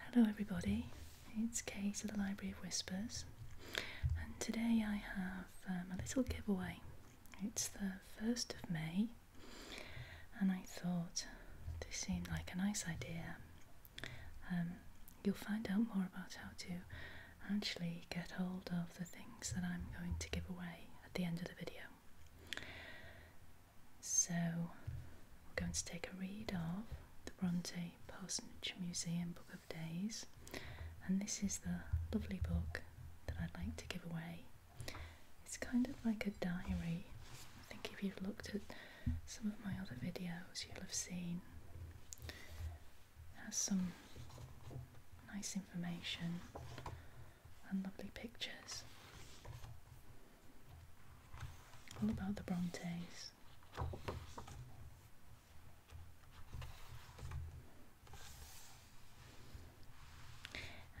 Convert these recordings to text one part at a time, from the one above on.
Hello, everybody. It's Kate at the Library of Whispers, and today I have um, a little giveaway. It's the 1st of May, and I thought this seemed like a nice idea. Um, you'll find out more about how to actually get hold of the things that I'm going to give away at the end of the video. So we're going to take a read of the Bronte Parsonage Museum Book of Days, and this is the lovely book that I'd like to give away. It's kind of like a diary. I think if you've looked at some of my other videos, you'll have seen. It has some nice information and lovely pictures. All about the Brontes.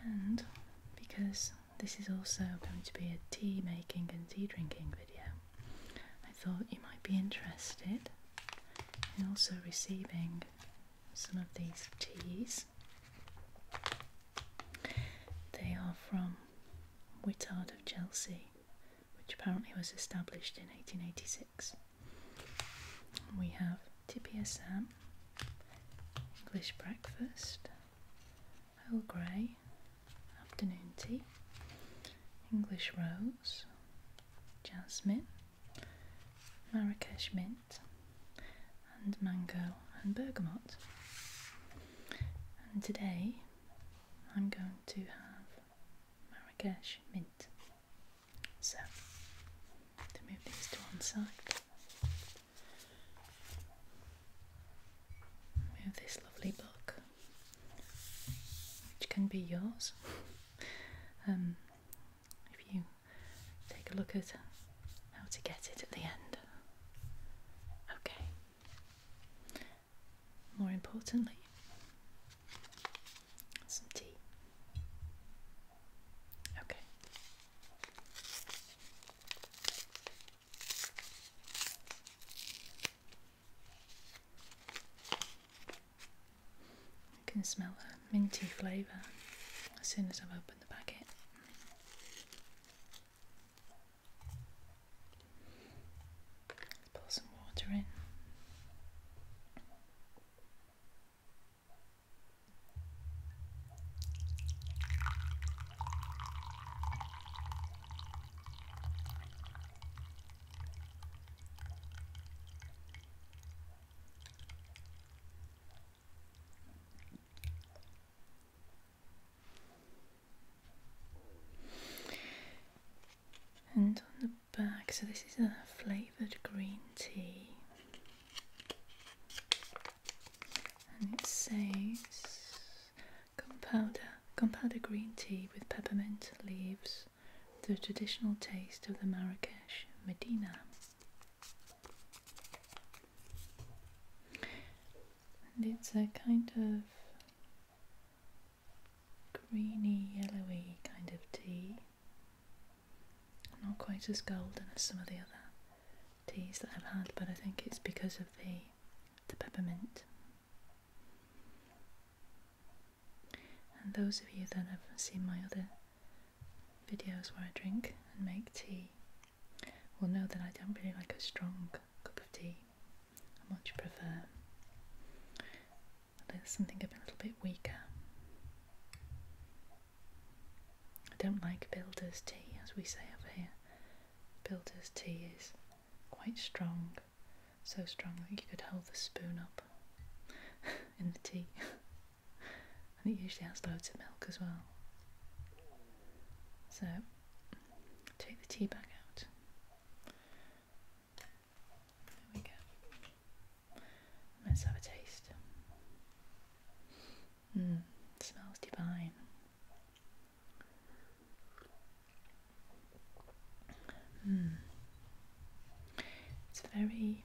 And because this is also going to be a tea making and tea drinking video, I thought you might be interested in also receiving some of these teas they are from Wittard of Chelsea, which apparently was established in 1886. We have Tipia Sam, English breakfast, Earl Grey, afternoon tea, English rose, jasmine, Marrakesh mint, and mango and bergamot. And today I'm going to have Marrakesh mint. So, to move these to one side, we this lovely book, which can be yours. um, if you take a look at how to get it at the end. Okay. More importantly, some tea. Okay. I can smell the minty flavour as soon as I've opened the packet let pour some water in. And on the back, so this is a flavoured green tea, and it says powder, gunpowder, powder green tea with peppermint leaves, the traditional taste of the Marrakesh Medina. And it's a kind of greeny, yellowy kind of tea. Not quite as golden as some of the other teas that I've had, but I think it's because of the the peppermint. And those of you that have seen my other videos where I drink and make tea well, know that I don't really like a strong cup of tea. I much prefer something a little bit weaker. I don't like builder's tea, as we say over here. Builder's tea is quite strong, so strong that you could hold the spoon up in the tea. and it usually has loads of milk as well. So take the tea bag out. There we go. Let's have a taste. Mmm, smells divine. Mmm. It's very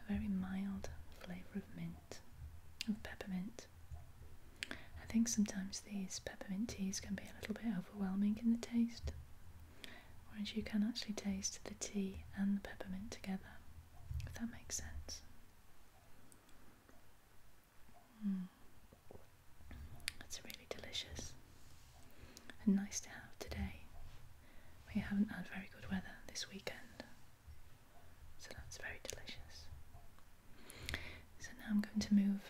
a very mild flavor of mint, of peppermint. I think sometimes these peppermint teas can be a little bit overwhelming in the taste, whereas you can actually taste the tea and the peppermint together, if that makes sense. Mm. That's really delicious and nice to have today. We haven't had very good weather this weekend, so that's very delicious. So now I'm going to move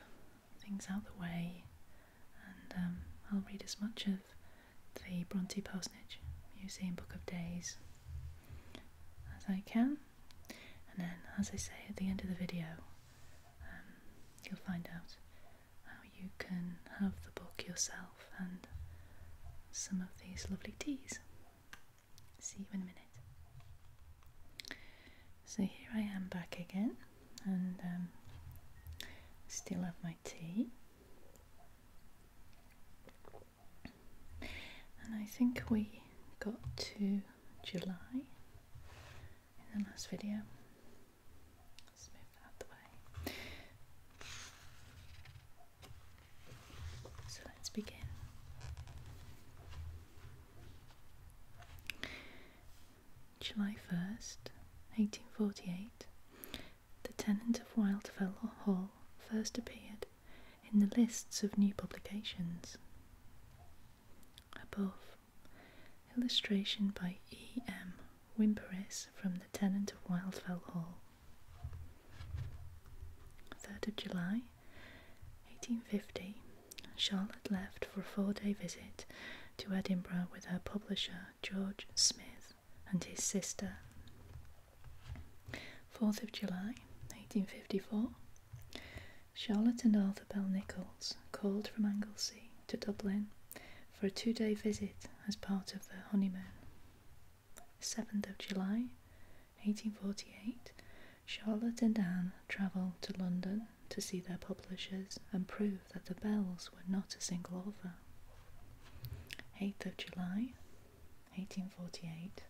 things out the way and um, I'll read as much of the Bronte Parsonage Museum Book of Days as I can. And then, as I say at the end of the video, um, you'll find out how you can have the book yourself and some of these lovely teas. See you in a minute. So here I am back again, and um, still have my tea. And I think we got to July in the last video. Let's move out the way. So let's begin. July 1st, 1848, the tenant of Wildfell Hall first appeared in the lists of new publications. Above, illustration by E. M. Wimperis from the tenant of Wildfell Hall. 3rd of July 1850, Charlotte left for a four day visit to Edinburgh with her publisher George Smith and his sister. 4th of July 1854, Charlotte and Arthur Bell Nichols called from Anglesey to Dublin for a two day visit as part of their honeymoon. 7th of July 1848, Charlotte and Anne travelled to London to see their publishers and prove that the Bells were not a single author. 8th of July 1848,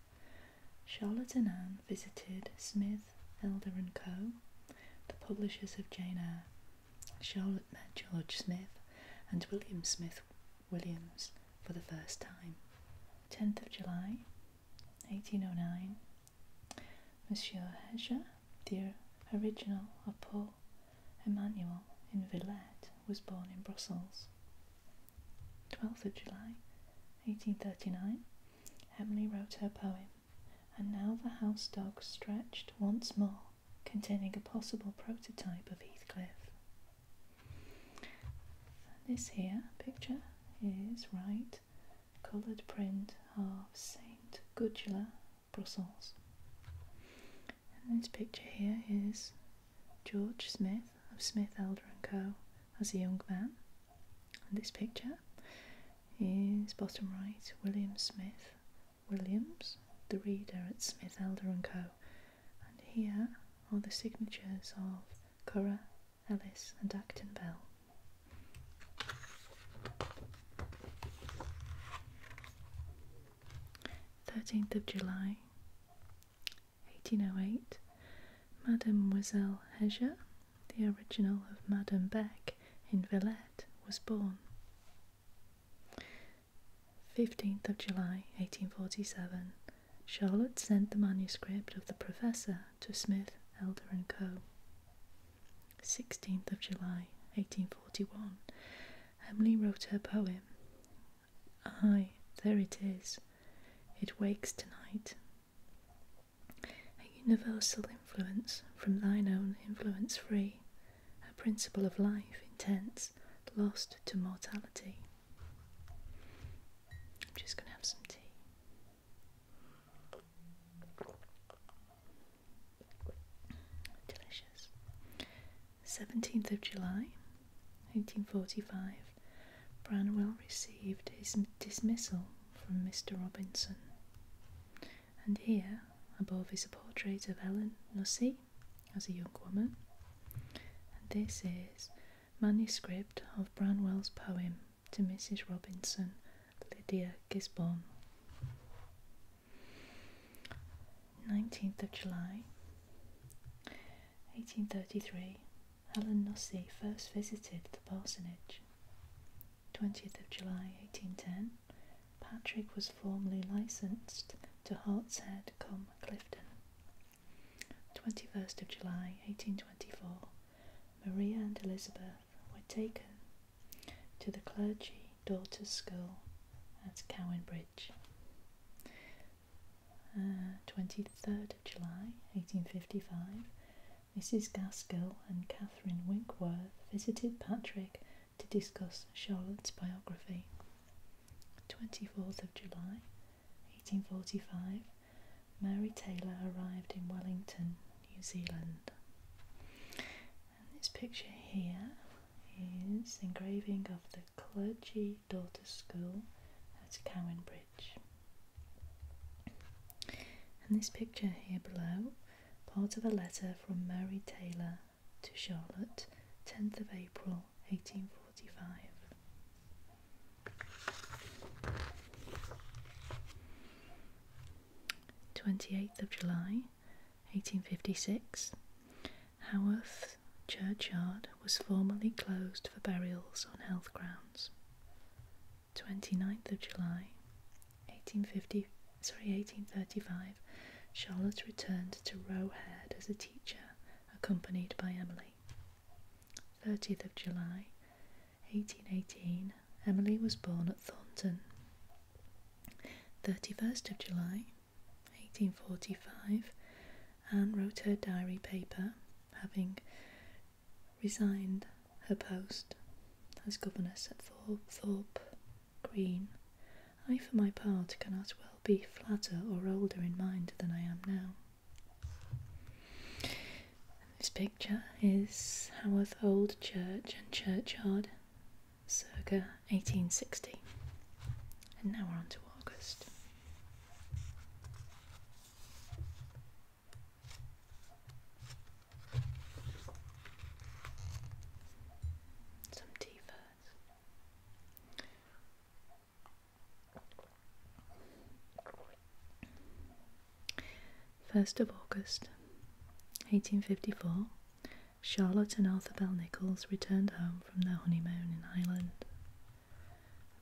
Charlotte and Anne visited Smith, Elder and Co., the publishers of Jane Eyre. Charlotte met George Smith and William Smith Williams for the first time. 10th of July 1809. Monsieur Heger, the original of Paul Emmanuel in Villette, was born in Brussels. 12th of July 1839. Emily wrote her poem, and now the house dog stretched once more, containing a possible prototype of Heathcliff. This here picture is right coloured print of Saint Gudula, Brussels. And this picture here is George Smith of Smith Elder and Co. as a young man. And this picture is bottom right William Smith Williams, the reader at Smith Elder and Co. And here are the signatures of Cora, Ellis, and Acton Bell. Thirteenth of July, eighteen oh eight, Mademoiselle Heger, the original of Madame Beck in Villette, was born. 15th of July 1847, Charlotte sent the manuscript of The Professor to Smith, Elder & Co. 16th of July 1841, Emily wrote her poem. Aye, there it is. It wakes tonight. A universal influence from thine own influence free, a principle of life intense, lost to mortality. I'm just going to have some tea. Delicious. 17th of July 1845, Branwell received his dismissal from Mr. Robinson. And here, above, is a portrait of Ellen Nussey, as a young woman. And this is manuscript of Branwell's poem to Mrs. Robinson, Lydia Gisborne. 19th of July 1833 Helen Nussey first visited the parsonage. 20th of July 1810 Patrick was formally licensed to Hartshead, Cum, Clifton. 21st of July 1824, Maria and Elizabeth were taken to the clergy daughters' school at Cowan Bridge. 23rd uh, of July 1855, Mrs. Gaskell and Catherine Winkworth visited Patrick to discuss Charlotte's biography. 24th of July, 1845, Mary Taylor arrived in Wellington, New Zealand. And this picture here is engraving of the Clergy Daughters School at Cowan Bridge. And this picture here below, part of a letter from Mary Taylor to Charlotte, 10th of April 1845. Twenty eighth of July, eighteen fifty six, Haworth churchyard was formally closed for burials on health grounds. 29th of July, 1850, sorry, 1835, Charlotte returned to Roe Head as a teacher, accompanied by Emily. 30th of July, 1818, Emily was born at Thornton. 31st of July, 1845, Anne wrote her diary paper, having resigned her post as governess at Thorpe green. I, for my part, cannot well be flatter or older in mind than I am now. this picture is Haworth Old Church and Churchyard, circa 1860. And now we're on to August. Some tea first. First of August, 1854, Charlotte and Arthur Bell Nichols returned home from their honeymoon in Ireland.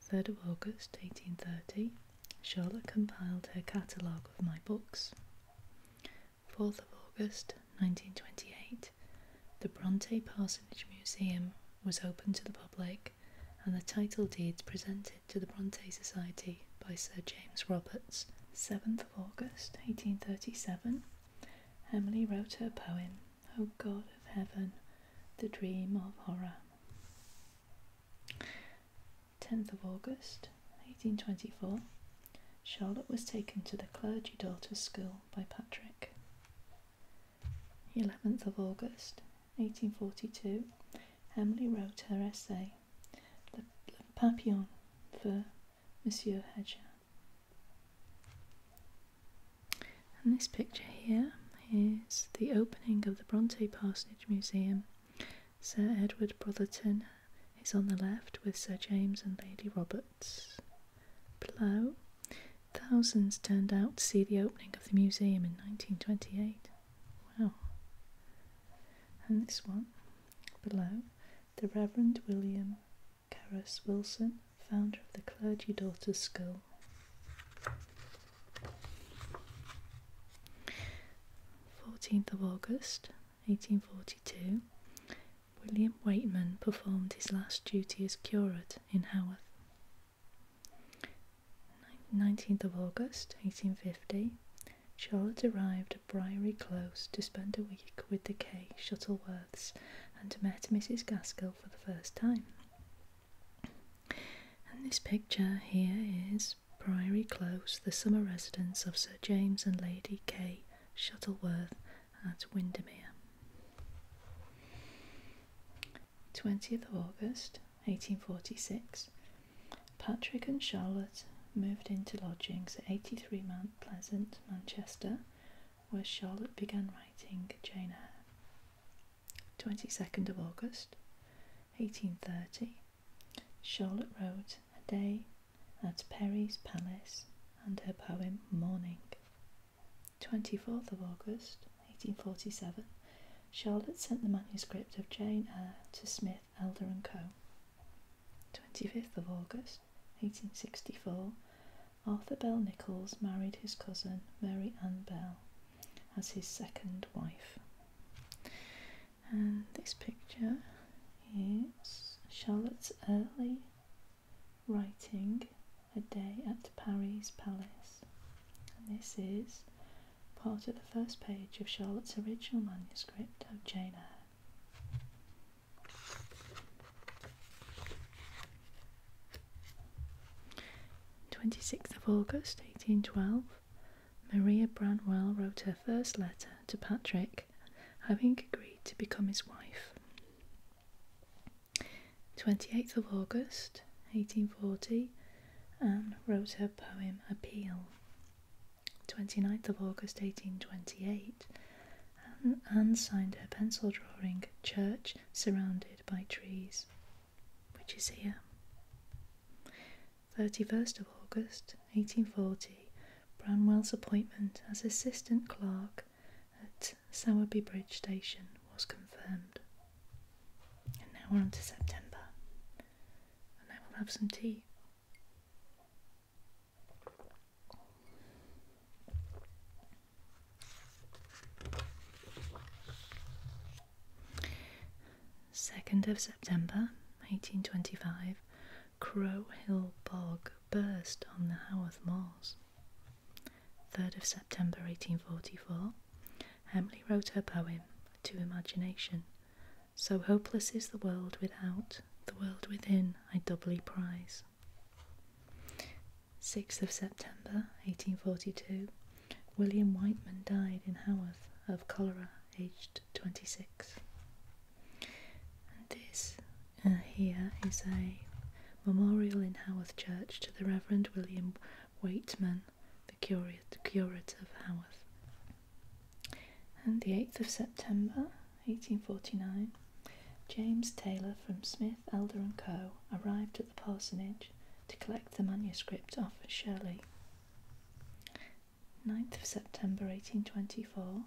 3rd of August 1830, Charlotte compiled her catalogue of my books. 4th of August 1928, the Bronte Parsonage Museum was opened to the public and the title deeds presented to the Bronte Society by Sir James Roberts. 7th August 1837, Emily wrote her poem, O God of Heaven, The Dream of Horror. 10th August 1824, Charlotte was taken to the clergy daughter's school by Patrick. 11th of August 1842, Emily wrote her essay, *The Papillon, for Monsieur Hedger. And this picture here is the opening of the Bronte Parsonage Museum. Sir Edward Brotherton is on the left with Sir James and Lady Roberts. Below, thousands turned out to see the opening of the museum in 1928. Wow. And this one, below, the Reverend William Carus Wilson, founder of the Clergy Daughters School. Fourteenth of August, eighteen forty two, William Waitman performed his last duty as curate in Haworth. 19th of August 1850, Charlotte arrived at Briary Close to spend a week with the Kay Shuttleworths and met Mrs. Gaskell for the first time. And this picture here is Priory Close, the summer residence of Sir James and Lady Kay Shuttleworth at Windermere. 20th of August 1846, Patrick and Charlotte moved into lodgings at 83 Mount Pleasant, Manchester, where Charlotte began writing Jane 22nd of August 1830, Charlotte wrote A Day at Perry's Palace and her poem Morning. 24th of August 1847, Charlotte sent the manuscript of Jane Eyre to Smith, Elder & Co. 25th of August 1864, Arthur Bell Nichols married his cousin Mary Ann Bell as his second wife. And this picture is Charlotte's early writing A Day at Paris Palace. And this is part of the first page of Charlotte's original manuscript of Jane Eyre. Twenty sixth of August, eighteen twelve. Maria Branwell wrote her first letter to Patrick having agreed to become his wife. 28th of August 1840, Anne wrote her poem Appeal. 29th of August 1828, Anne, Anne signed her pencil drawing Church Surrounded by Trees, which is here. 31st of August 1840, Branwell's appointment as assistant clerk at Sowerby Bridge Station was confirmed. And now we're on to September, and I will have some tea. Second of September, eighteen twenty-five, Crow Hill Bog burst on the Haworth Moors. 3rd of September 1844, Emily wrote her poem, To Imagination. So hopeless is the world without, the world within I doubly prize. 6th of September 1842, William Whiteman died in Haworth of cholera, aged 26. And this uh, here is a memorial in Haworth Church to the Reverend William Waitman, the curate, curate of Haworth. And the 8th of September 1849, James Taylor from Smith, Elder and Co. arrived at the parsonage to collect the manuscript of Shirley. 9th of September 1824,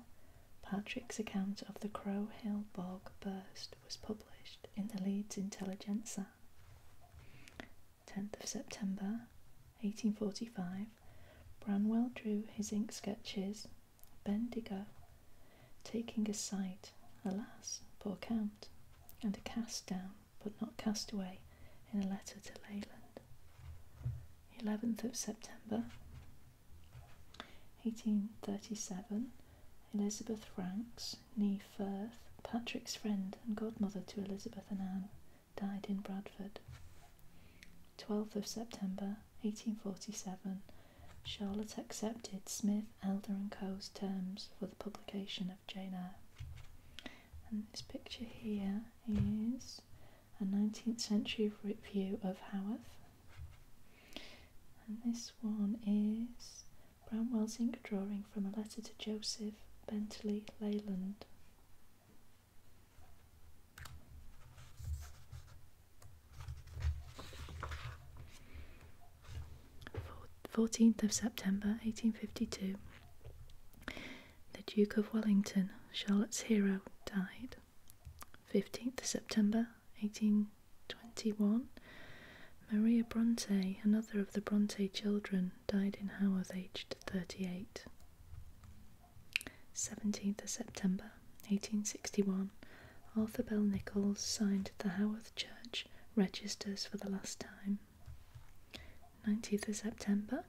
Patrick's account of the Crow Hill Bog burst was published in the Leeds Intelligencer. 10th of September 1845, Branwell drew his ink sketches, Bendigo, taking a sight, alas, poor Count, and a cast down, but not cast away, in a letter to Leyland. 11th of September 1837 Elizabeth Franks, nee Firth, Patrick's friend and godmother to Elizabeth and Anne, died in Bradford. 12th of September 1847 Charlotte accepted Smith, Elder and Co.'s terms for the publication of Jane Eyre. And this picture here is a 19th century review of Haworth. And this one is Bramwell's ink drawing from a letter to Joseph Bentley Leyland. Fourteenth of September, eighteen fifty-two. The Duke of Wellington, Charlotte's hero, died. 15th September 1821, Maria Bronte, another of the Bronte children, died in Haworth aged 38. 17th September 1861, Arthur Bell Nichols signed the Haworth Church registers for the last time. 19th September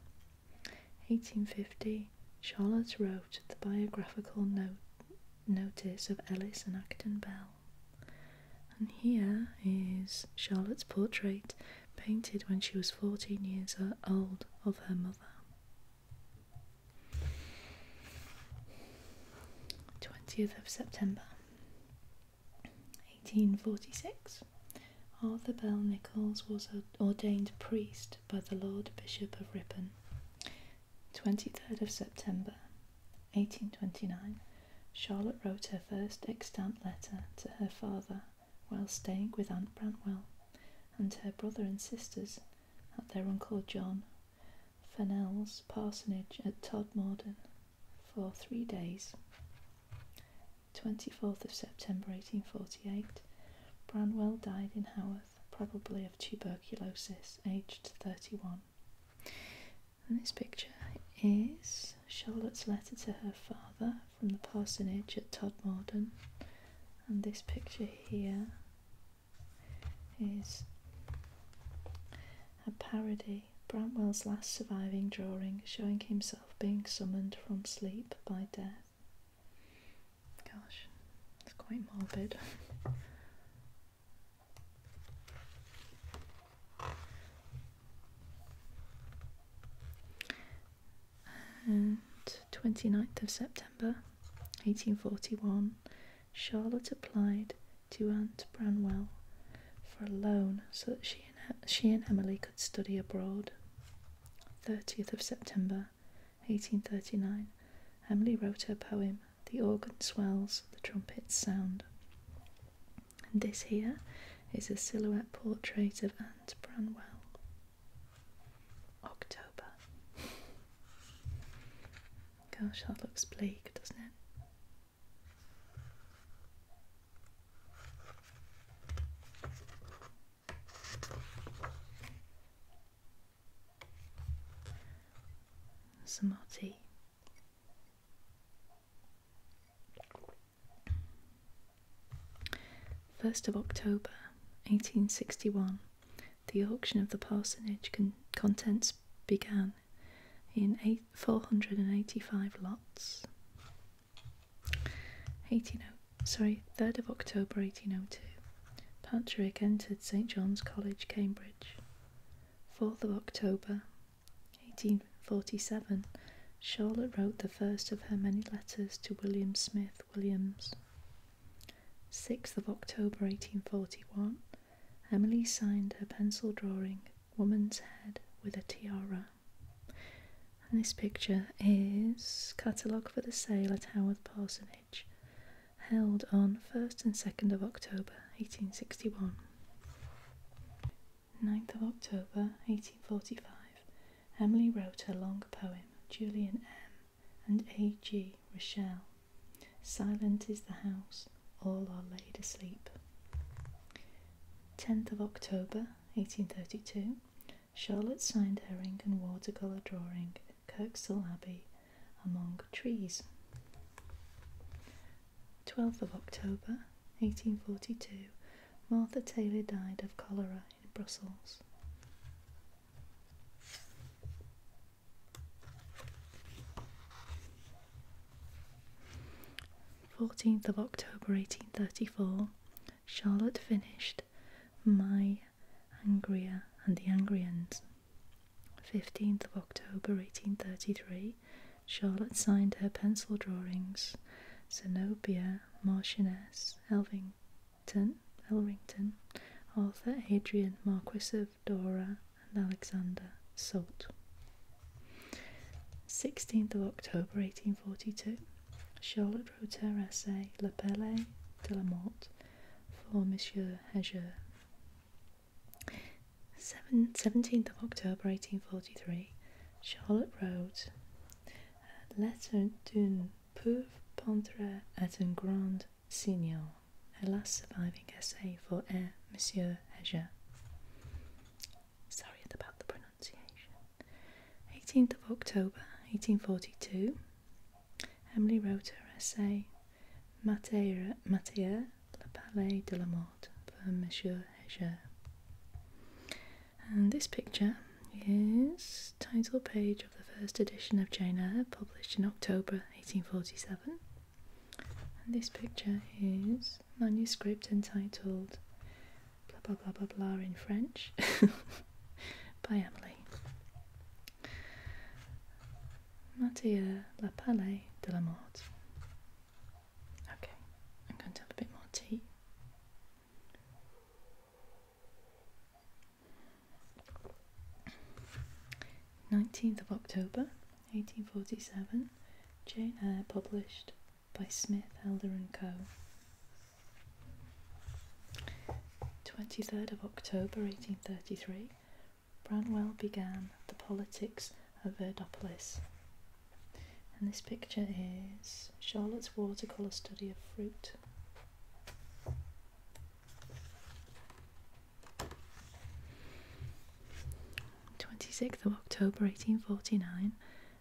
1850, Charlotte wrote the biographical note, notice of Ellis and Acton Bell. And here is Charlotte's portrait painted when she was 14 years old of her mother. 20th of September 1846. Arthur Bell Nichols was ordained priest by the Lord Bishop of Ripon 23rd of September 1829, Charlotte wrote her first extant letter to her father while staying with Aunt Branwell and her brother and sisters at their Uncle John Fennell's parsonage at Todmorden for three days. 24th of September 1848, Branwell died in Haworth probably of tuberculosis, aged 31. And this picture is Charlotte's letter to her father from the parsonage at Todmorden. And this picture here is a parody, Bramwell's last surviving drawing showing himself being summoned from sleep by death. Gosh, it's quite morbid. and 29th of September 1841, Charlotte applied to Aunt Branwell for a loan so that she and, she and Emily could study abroad. 30th of September 1839, Emily wrote her poem, The Organ Swells, the Trumpets Sound. And this here is a silhouette portrait of Anne Branwell. October. Gosh, that looks bleak, doesn't it? some First of October, eighteen sixty-one, the auction of the parsonage contents began in eight four hundred and eighty-five lots. Eighteen oh, sorry, 3rd of October 1802, Patrick entered St John's College, Cambridge. 4th of October 1847, Charlotte wrote the first of her many letters to William Smith Williams. 6th of October 1841, Emily signed her pencil drawing, Woman's Head with a Tiara. And this picture is catalogued for the sale at Howard Parsonage held on 1st and 2nd of October 1861. 9th of October 1845, Emily wrote her long poem, Julian M. and A. G. Rochelle. Silent is the house, all are laid asleep. 10th of October 1832, Charlotte signed Herring and watercolour drawing at Kirkstall Abbey among trees. 12th of October 1842, Martha Taylor died of cholera in Brussels. Fourteenth of October, eighteen thirty-four, Charlotte finished my Angria and the Angrians. 15th of October 1833, Charlotte signed her pencil drawings Zenobia, Marchioness, Elvington, Elrington, Arthur Adrian, Marquis of Dora, and Alexander Salt. 16th of October 1842, Charlotte wrote her essay La Belle de la Motte for Monsieur Heger. 17th of October 1843, Charlotte wrote a Lettre d'un pauvre peintre at un grand seigneur, her last surviving essay for Air Monsieur Heger. Sorry about the pronunciation. 18th of October 1842, Emily wrote her essay Matière, Matière le Palais de la Mort for Monsieur Heger. And this picture is title page of the first edition of Jane Eyre, published in October 1847. And this picture is manuscript entitled blah blah blah blah blah in French by Emily. Mattia La Palais de la Mort. Okay, I'm going to have a bit more tea. Nineteenth of October, eighteen forty-seven. Jane Eyre published by Smith, Elder and Co. 23rd of October 1833, Branwell began the politics of Verdopolis. And this picture is Charlotte's watercolour study of fruit. Twenty sixth of October eighteen forty nine,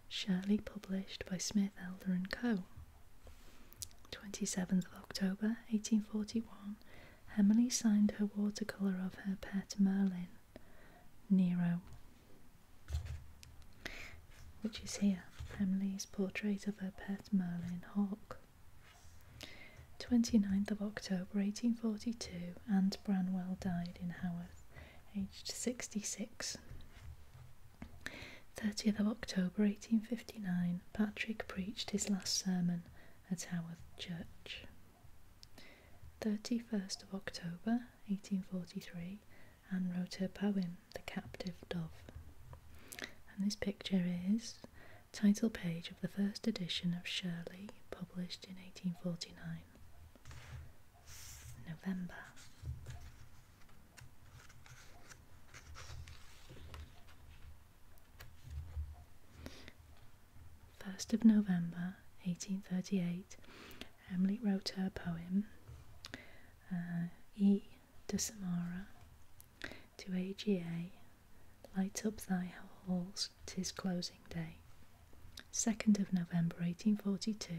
Shirley published by Smith Elder and Co. 27th of October 1841, Emily signed her watercolour of her pet Merlin, Nero, which is here, Emily's portrait of her pet Merlin Hawk. 29th of October 1842, and Branwell died in Haworth, aged 66. 30th of October 1859, Patrick preached his last sermon at Haworth Church. 31st of October 1843, and wrote her poem, The Captive Dove. And this picture is title page of the first edition of Shirley, published in 1849. November. 1st of November 1838, Emily wrote her poem uh, E de Samara to AGA Light up thy halls, tis closing day. 2nd of November 1842,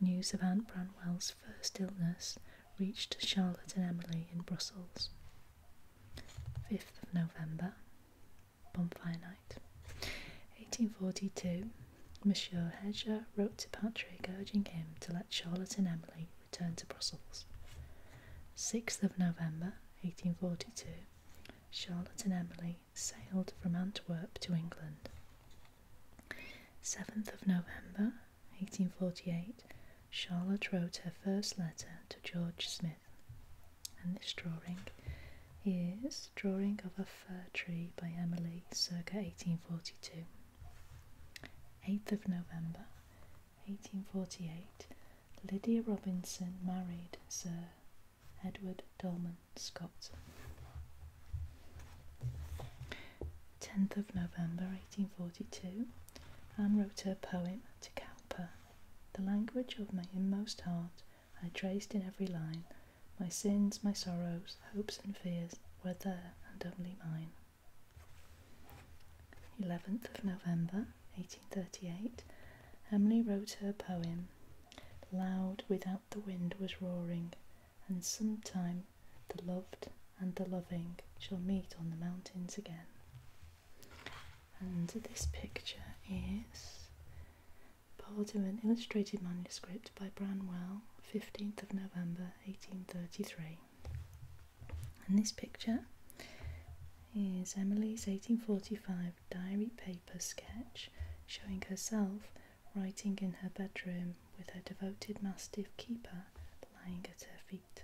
news of Aunt Branwell's first illness reached Charlotte and Emily in Brussels. 5th November, Bonfire Night. 1842, Monsieur Heger wrote to Patrick urging him to let Charlotte and Emily return to Brussels. 6th of November, 1842, Charlotte and Emily sailed from Antwerp to England. 7th of November 1848, Charlotte wrote her first letter to George Smith, and this drawing is Drawing of a Fir Tree by Emily, circa 1842. 8th of November 1848, Lydia Robinson married Sir Edward Dolman Scott. 10th of November 1842, Anne wrote her poem to Cowper. The language of my inmost heart I traced in every line. My sins, my sorrows, hopes and fears were there and only mine. 11th of November 1838, Emily wrote her poem. Loud without the wind was roaring, and sometime the loved and the loving shall meet on the mountains again. And this picture is part of an illustrated manuscript by Branwell, 15th of November 1833. And this picture is Emily's 1845 diary paper sketch showing herself writing in her bedroom with her devoted mastiff keeper lying at her feet.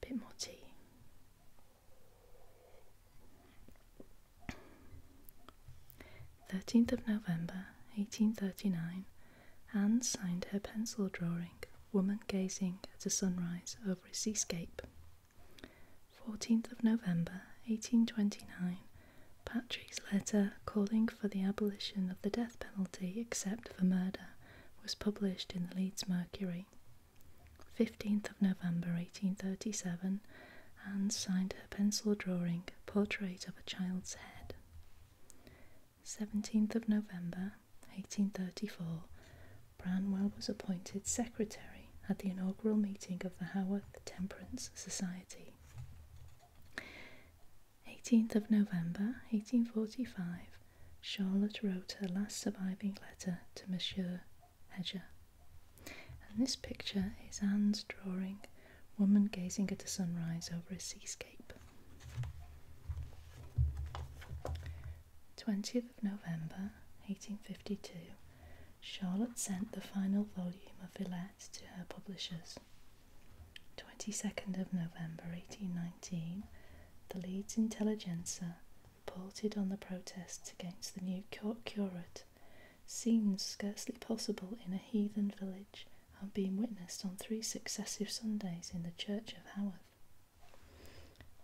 bit more tea. Thirteenth of November, eighteen thirty nine, Anne signed her pencil drawing, Woman Gazing at a Sunrise over a Seascape 14th of November 1829, Patrick's letter calling for the abolition of the death penalty except for murder was published in the Leeds Mercury. 15th of November 1837, Anne signed her pencil drawing Portrait of a Child's Head. 17th of November 1834, Branwell was appointed secretary at the inaugural meeting of the Haworth Temperance Society. 18th of November 1845, Charlotte wrote her last surviving letter to Monsieur Hedger. And this picture is Anne's drawing, woman gazing at the sunrise over a seascape. 20th of November 1852, Charlotte sent the final volume of Villette to her publishers. 22nd of November 1819, the Leeds Intelligencer reported on the protests against the new curate, scenes scarcely possible in a heathen village have been witnessed on three successive Sundays in the church of Haworth.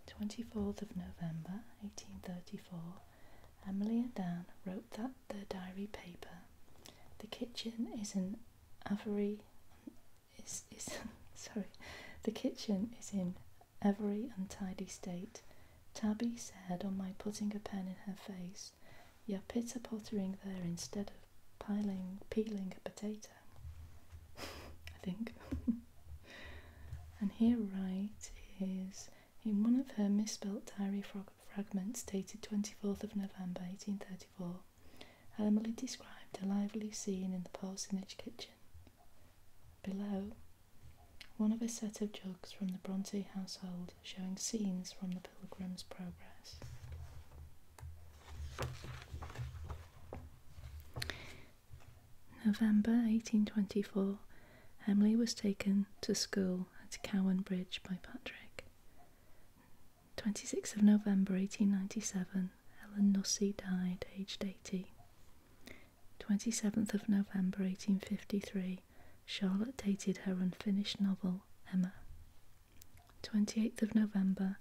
24th of November 1834, Emily and Dan wrote that the diary paper. The kitchen is an Avery is is sorry. The kitchen is in every untidy state. Tabby said on my putting a pen in her face, You're pitter pottering there instead of piling peeling a potato I think. and here right is in one of her misspelt diary frog fragments dated 24th of November 1834, Emily described a lively scene in the parsonage kitchen. Below, one of a set of jugs from the Bronte household showing scenes from the Pilgrim's Progress. November 1824, Emily was taken to school at Cowan Bridge by Patrick. 26th of November 1897, Ellen Nussey died, aged 80. 27th of November 1853, Charlotte dated her unfinished novel, Emma. 28th of November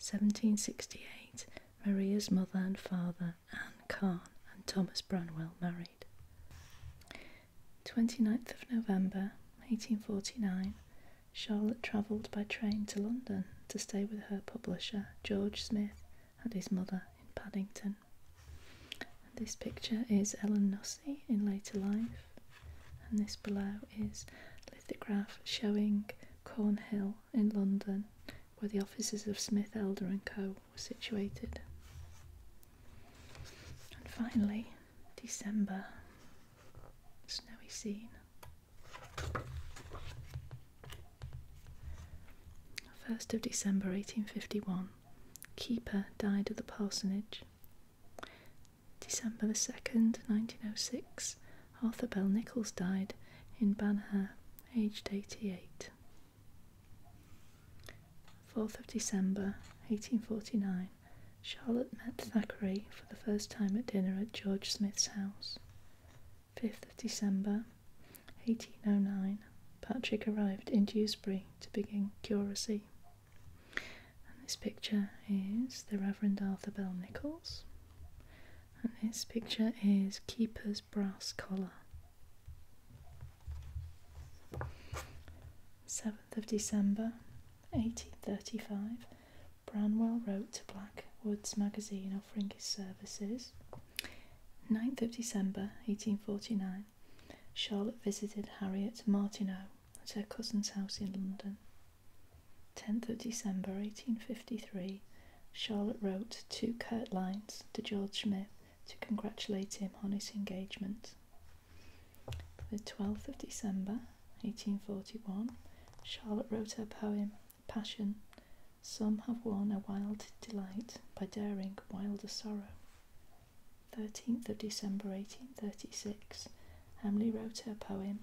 1768, Maria's mother and father Anne Kahn and Thomas Branwell married. 29th of November 1849, Charlotte travelled by train to London to stay with her publisher George Smith and his mother in Paddington. this picture is Ellen Nussey in later life, and this below is lithograph showing Cornhill in London, where the offices of Smith Elder and Co was situated. And finally, December, snowy scene. First of December 1851, Keeper died at the parsonage. December the 2nd, 1906, Arthur Bell Nichols died in Banagher, aged 88. 4th of December, 1849, Charlotte met Thackeray for the first time at dinner at George Smith's house. 5th of December, 1809, Patrick arrived in Dewsbury to begin curacy. And this picture is the Reverend Arthur Bell Nichols. And this picture is Keeper's brass collar. 7th of December 1835, Branwell wrote to Blackwood's magazine offering his services. 9th of December 1849, Charlotte visited Harriet Martineau at her cousin's house in London. 10th of December 1853, Charlotte wrote two curt lines to George Smith to congratulate him on his engagement. the 12th of December 1841, Charlotte wrote her poem Passion. Some have won a wild delight by daring wilder sorrow. 13th of December 1836, Emily wrote her poem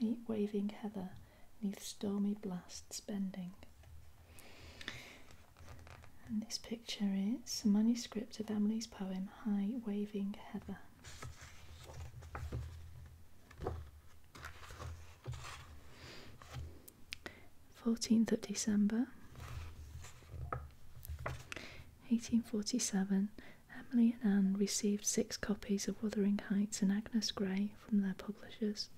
High Waving Heather neath Stormy Blasts Bending. And this picture is a manuscript of Emily's poem High Waving Heather. Fourteenth of December, eighteen forty seven. Emily and Anne received six copies of Wuthering Heights and Agnes Grey from their publishers.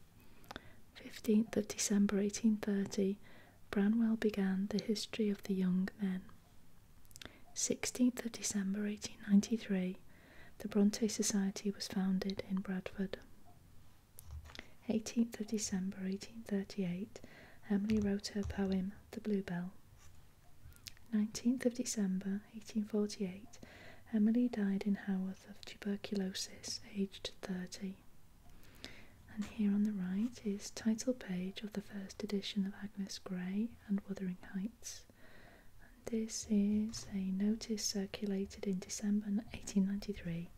15th of December 1830, Branwell began the history of the young men. 16th of December 1893, the Bronte Society was founded in Bradford. 18th of December 1838, Emily wrote her poem The Bluebell. 19th of December 1848, Emily died in Haworth of tuberculosis, aged 30. And here on the right is title page of the first edition of Agnes Grey and Wuthering Heights. And this is a notice circulated in December 1893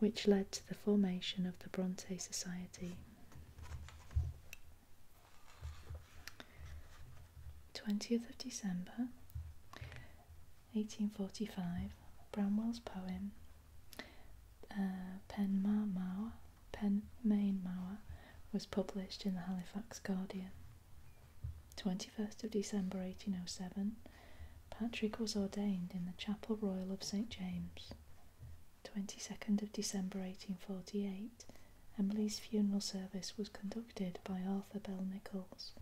which led to the formation of the Bronte Society. 20th of December 1845, Bramwell's poem uh, "Penmaenmawr" was published in the Halifax Guardian. 21st of December 1807, Patrick was ordained in the Chapel Royal of St James. 22nd of December 1848, Emily's funeral service was conducted by Arthur Bell Nichols.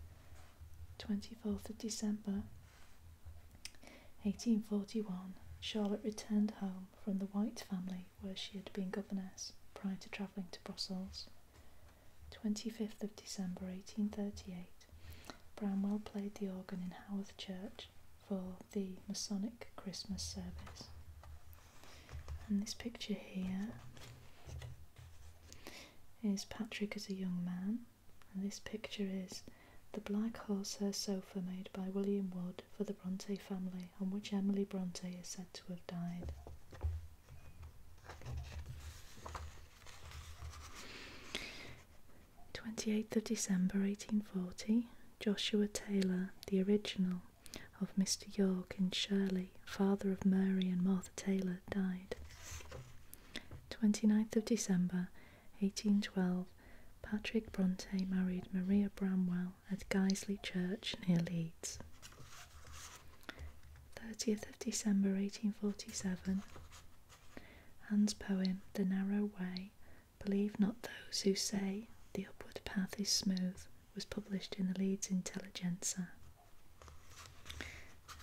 24th of December 1841, Charlotte returned home from the White family where she had been governess prior to travelling to Brussels. 25th of December 1838, Bramwell played the organ in Haworth Church for the Masonic Christmas service. And this picture here is Patrick as a young man and this picture is The Black horsehair Sofa made by William Wood for the Bronte family, on which Emily Bronte is said to have died. Twenty eighth of December eighteen forty, Joshua Taylor, the original of Mr York in Shirley, father of Mary and Martha Taylor, died. 29th of December 1812, Patrick Bronte married Maria Bramwell at Guisley Church near Leeds. 30th of December 1847, Anne's poem The Narrow Way, Believe Not Those Who Say the Upward Path is Smooth, was published in the Leeds Intelligencer.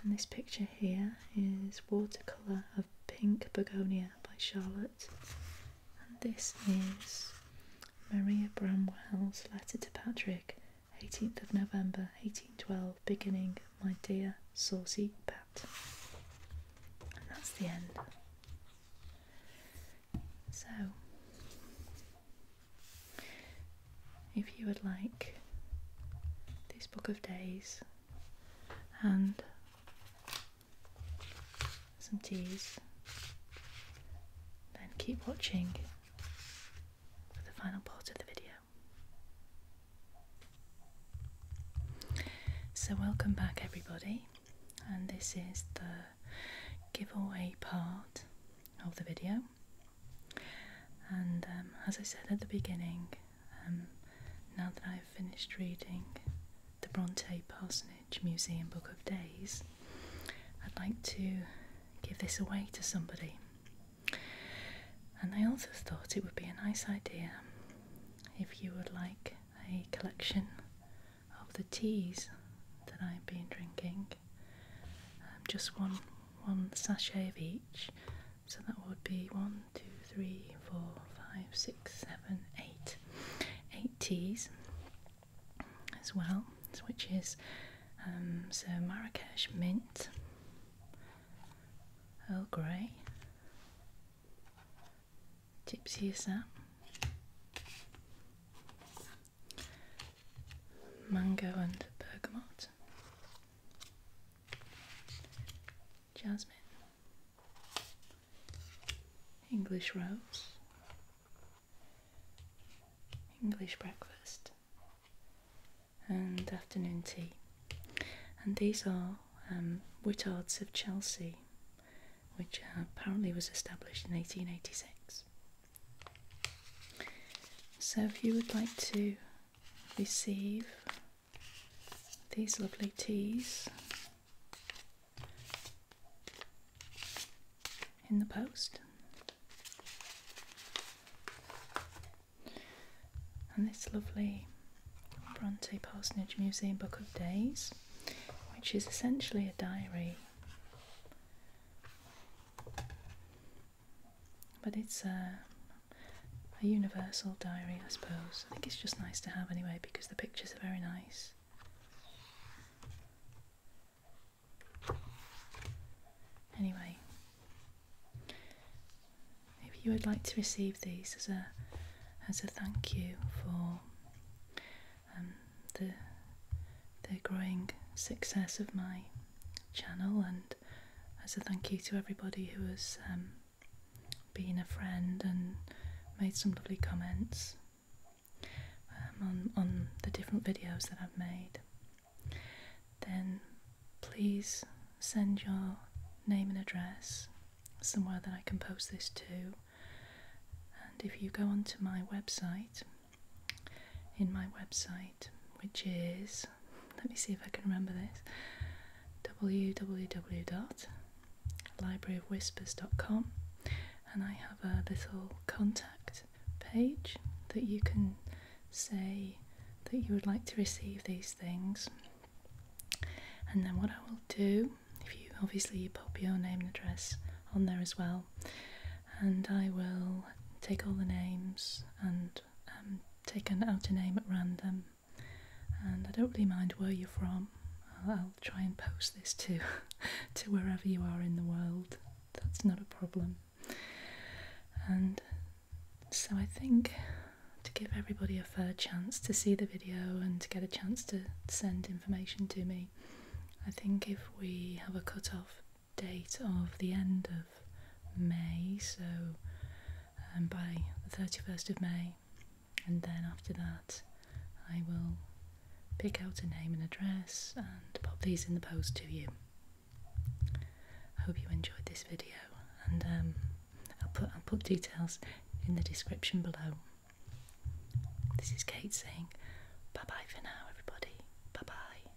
And this picture here is Watercolour of Pink Begonia by Charlotte. And this is Maria Bramwell's letter to Patrick, 18th of November 1812, beginning, My dear saucy Pat. And that's the end. So, if you would like this book of days and some teas, then keep watching for the final part of the video. So, welcome back, everybody, and this is the giveaway part of the video. And um, as I said at the beginning, um, now that I've finished reading the Bronte Parsonage Museum Book of Days, I'd like to give this away to somebody. And I also thought it would be a nice idea if you would like a collection of the teas that I've been drinking, um, just one one sachet of each. So that would be one, two, three, four, five, six, seven, eight, eight teas as well, which is um, so Marrakesh mint, Earl Grey, Gypsy Assam, mango and bergamot jasmine, English rose, English breakfast, and afternoon tea. And these are um, Whittards of Chelsea, which uh, apparently was established in 1886. So, if you would like to receive these lovely teas in the post. And this lovely Bronte Parsonage Museum Book of Days, which is essentially a diary but it's a, uh, a universal diary, I suppose. I think it's just nice to have anyway because the pictures are very nice. Anyway, maybe you would like to receive these as a as a thank you for um, the the growing success of my channel and as a thank you to everybody who has um, been a friend and made some lovely comments um, on, on the different videos that I've made, then please send your name and address somewhere that I can post this to. And if you go onto my website, in my website, which is let me see if I can remember this www.libraryofwhispers.com, and I have a little contact page that you can say that you would like to receive these things. And then, what I will do, if you obviously pop your name and address on there as well, and I will take all the names and just um, taken out a name at random, and I don't really mind where you're from. I'll, try and post this to to wherever you are in the world. That's not a problem. And so I think to give everybody a fair chance to see the video and to get a chance to send information to me, I think if we have a cut off date of the end of May, so um, by the 31st of May, and then after that, I will pick out a name and address and pop these in the post to you. I hope you enjoyed this video, and um, I'll put I'll put details in the description below. This is Kate saying bye bye for now, everybody. Bye bye.